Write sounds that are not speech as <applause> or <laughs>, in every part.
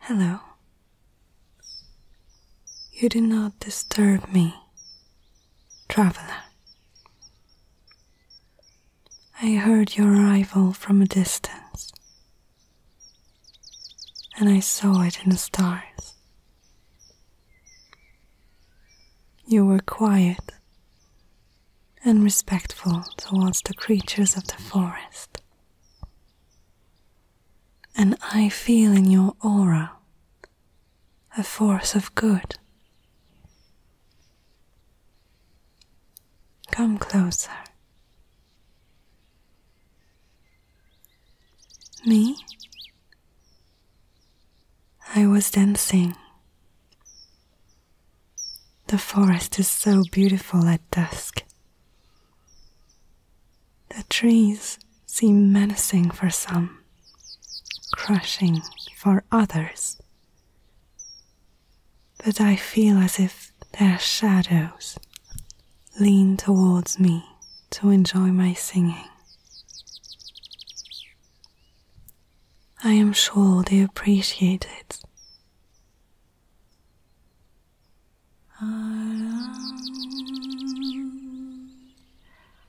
Hello. You do not disturb me Traveler, I heard your arrival from a distance, and I saw it in the stars. You were quiet and respectful towards the creatures of the forest. And I feel in your aura a force of good. Come closer. Me? I was dancing. The forest is so beautiful at dusk. The trees seem menacing for some, crushing for others. But I feel as if their shadows lean towards me to enjoy my singing. I am sure they appreciate it.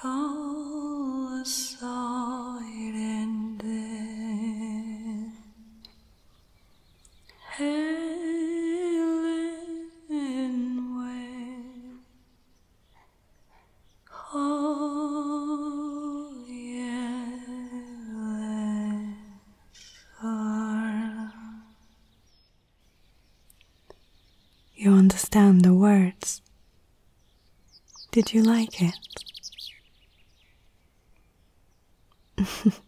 How silent Helen went. Oh, Helen you understand the words did you like it? <laughs>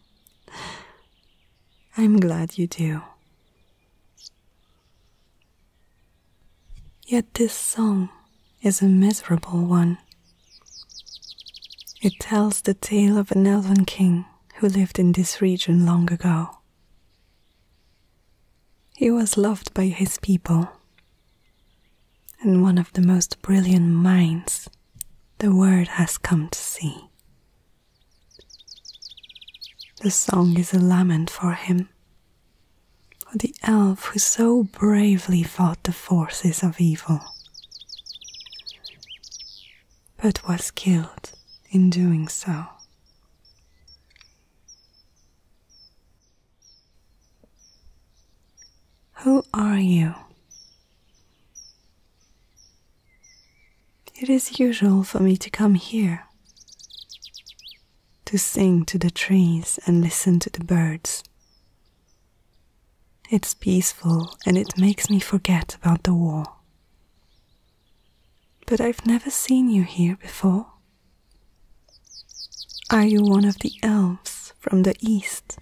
I'm glad you do. Yet this song is a miserable one. It tells the tale of an elven king who lived in this region long ago. He was loved by his people and one of the most brilliant minds the world has come to see. The song is a lament for him, for the elf who so bravely fought the forces of evil, but was killed in doing so. Who are you? It is usual for me to come here to sing to the trees and listen to the birds. It's peaceful and it makes me forget about the war. But I've never seen you here before. Are you one of the elves from the east?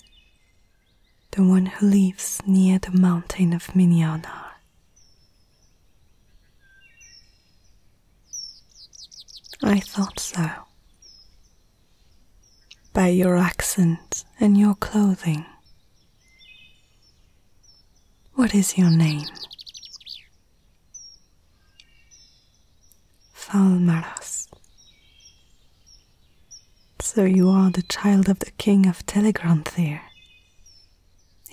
The one who lives near the mountain of Minyanar? I thought so. By your accent and your clothing. What is your name? Falmaras. So you are the child of the king of Telegranthir.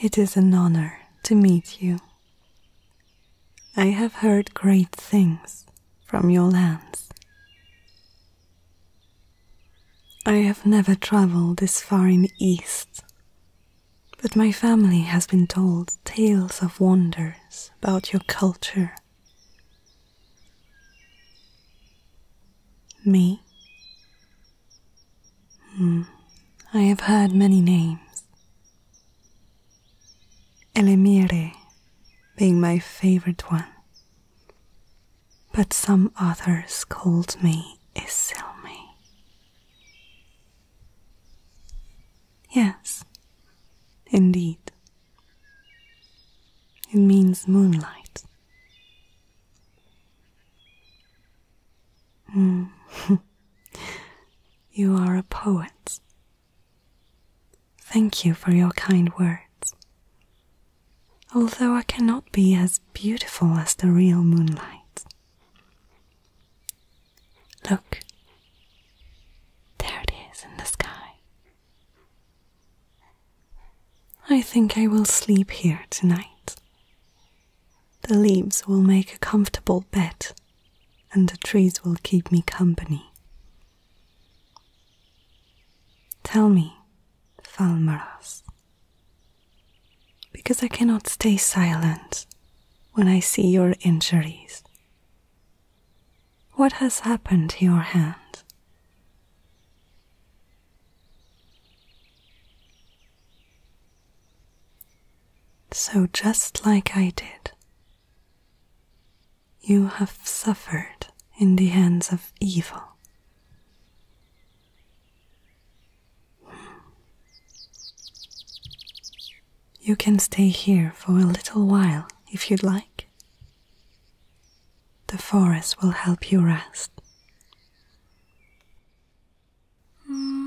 It is an honor to meet you. I have heard great things from your lands. I have never traveled this far in the east, but my family has been told tales of wonders about your culture. Me? Hmm. I have had many names. Elemire being my favorite one. But some others called me Isilmi. Yes, indeed. It means moonlight. Mm. <laughs> you are a poet. Thank you for your kind words. Although I cannot be as beautiful as the real moonlight, Look, there it is in the sky. I think I will sleep here tonight. The leaves will make a comfortable bed, and the trees will keep me company. Tell me, Falmaras, because I cannot stay silent when I see your injuries. What has happened to your hand? So, just like I did, you have suffered in the hands of evil. You can stay here for a little while if you'd like. The forest will help you rest. Mm-hmm.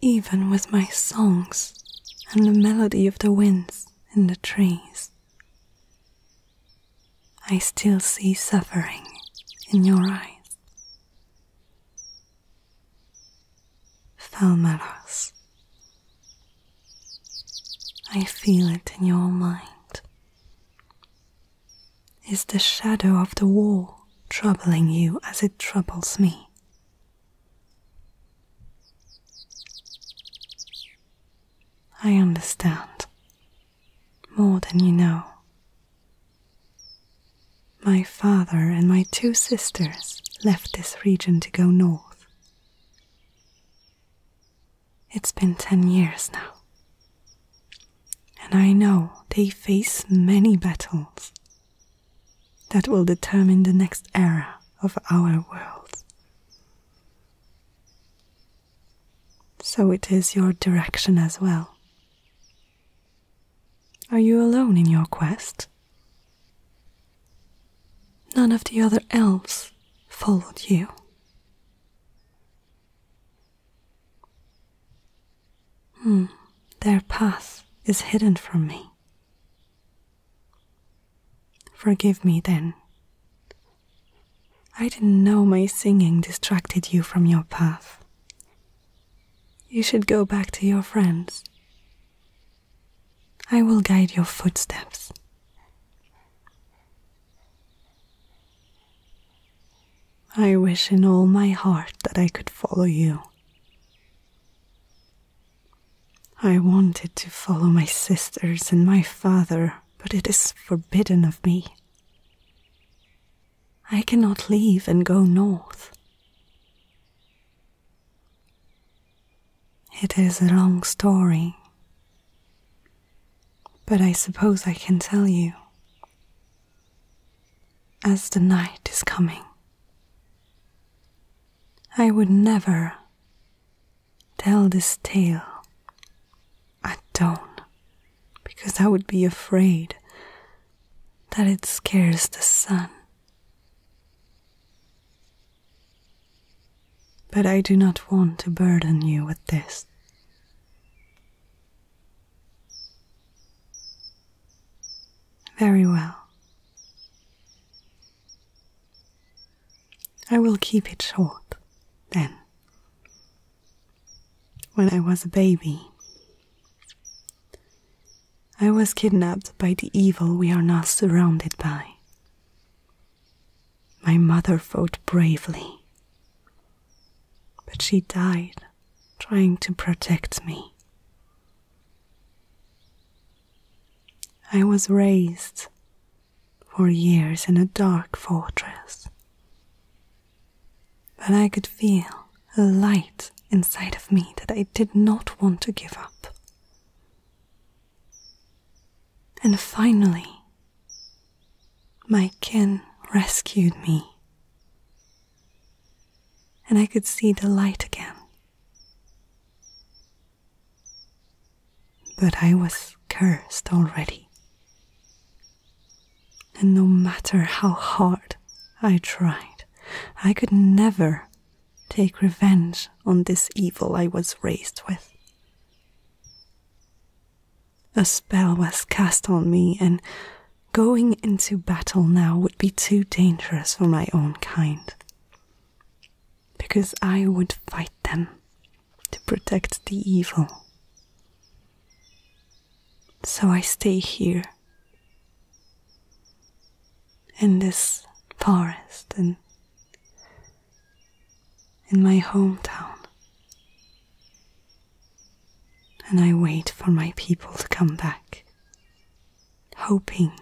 Even with my songs and the melody of the winds in the trees, I still see suffering in your eyes. Falmaras, I feel it in your mind. Is the shadow of the wall troubling you as it troubles me? I understand more than you know. My father and my two sisters left this region to go north. It's been 10 years now. And I know they face many battles that will determine the next era of our world. So it is your direction as well. Are you alone in your quest? None of the other elves followed you. Hmm, their path is hidden from me. Forgive me then. I didn't know my singing distracted you from your path. You should go back to your friends. I will guide your footsteps. I wish in all my heart that I could follow you. I wanted to follow my sisters and my father, but it is forbidden of me. I cannot leave and go north. It is a long story, but I suppose I can tell you as the night is coming. I would never tell this tale at dawn because I would be afraid that it scares the sun. But I do not want to burden you with this. Very well. I will keep it short, then. When I was a baby, I was kidnapped by the evil we are now surrounded by. My mother fought bravely, but she died trying to protect me. I was raised for years in a dark fortress, but I could feel a light inside of me that I did not want to give up. And finally, my kin rescued me. And I could see the light again. But I was cursed already. And no matter how hard I tried, I could never take revenge on this evil I was raised with. A spell was cast on me, and going into battle now would be too dangerous for my own kind. Because I would fight them to protect the evil. So I stay here, in this forest and in my hometown. And I wait for my people to come back, hoping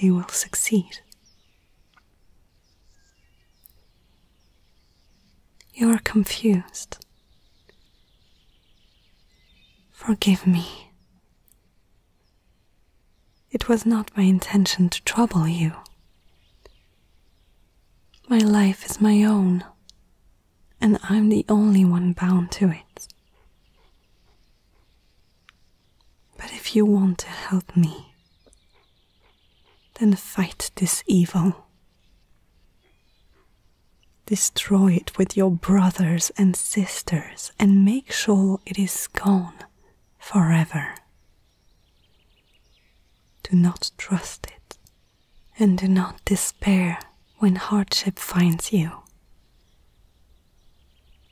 they will succeed. You're confused. Forgive me it was not my intention to trouble you. My life is my own, and I'm the only one bound to it. But if you want to help me, then fight this evil. Destroy it with your brothers and sisters and make sure it is gone forever. Do not trust it, and do not despair when hardship finds you.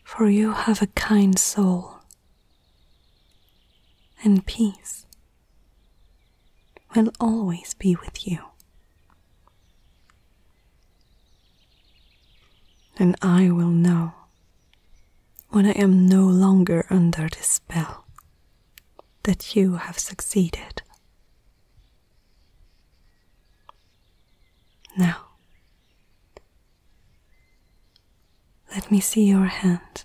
For you have a kind soul and peace will always be with you and I will know when I am no longer under the spell that you have succeeded. Now, let me see your hand.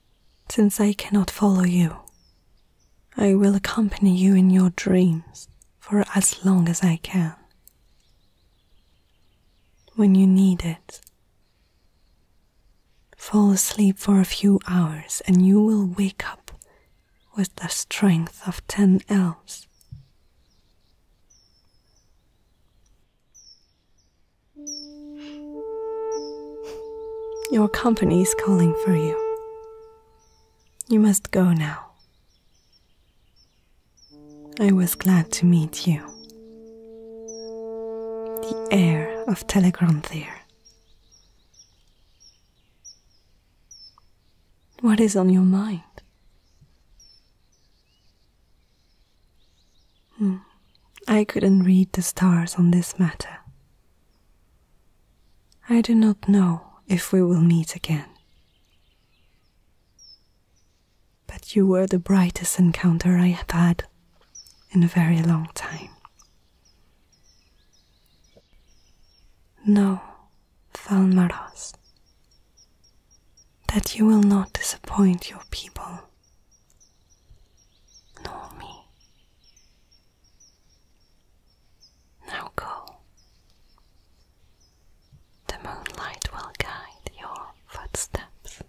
Since I cannot follow you, I will accompany you in your dreams for as long as I can. When you need it, fall asleep for a few hours and you will wake up with the strength of ten elves. Your company is calling for you. You must go now. I was glad to meet you. The heir of Telegranthir. What is on your mind? Hmm. I couldn't read the stars on this matter. I do not know if we will meet again. But you were the brightest encounter I have had in a very long time. Know, Thalmaras, that you will not disappoint your people nor me. Now go. The moonlight will guide your footsteps.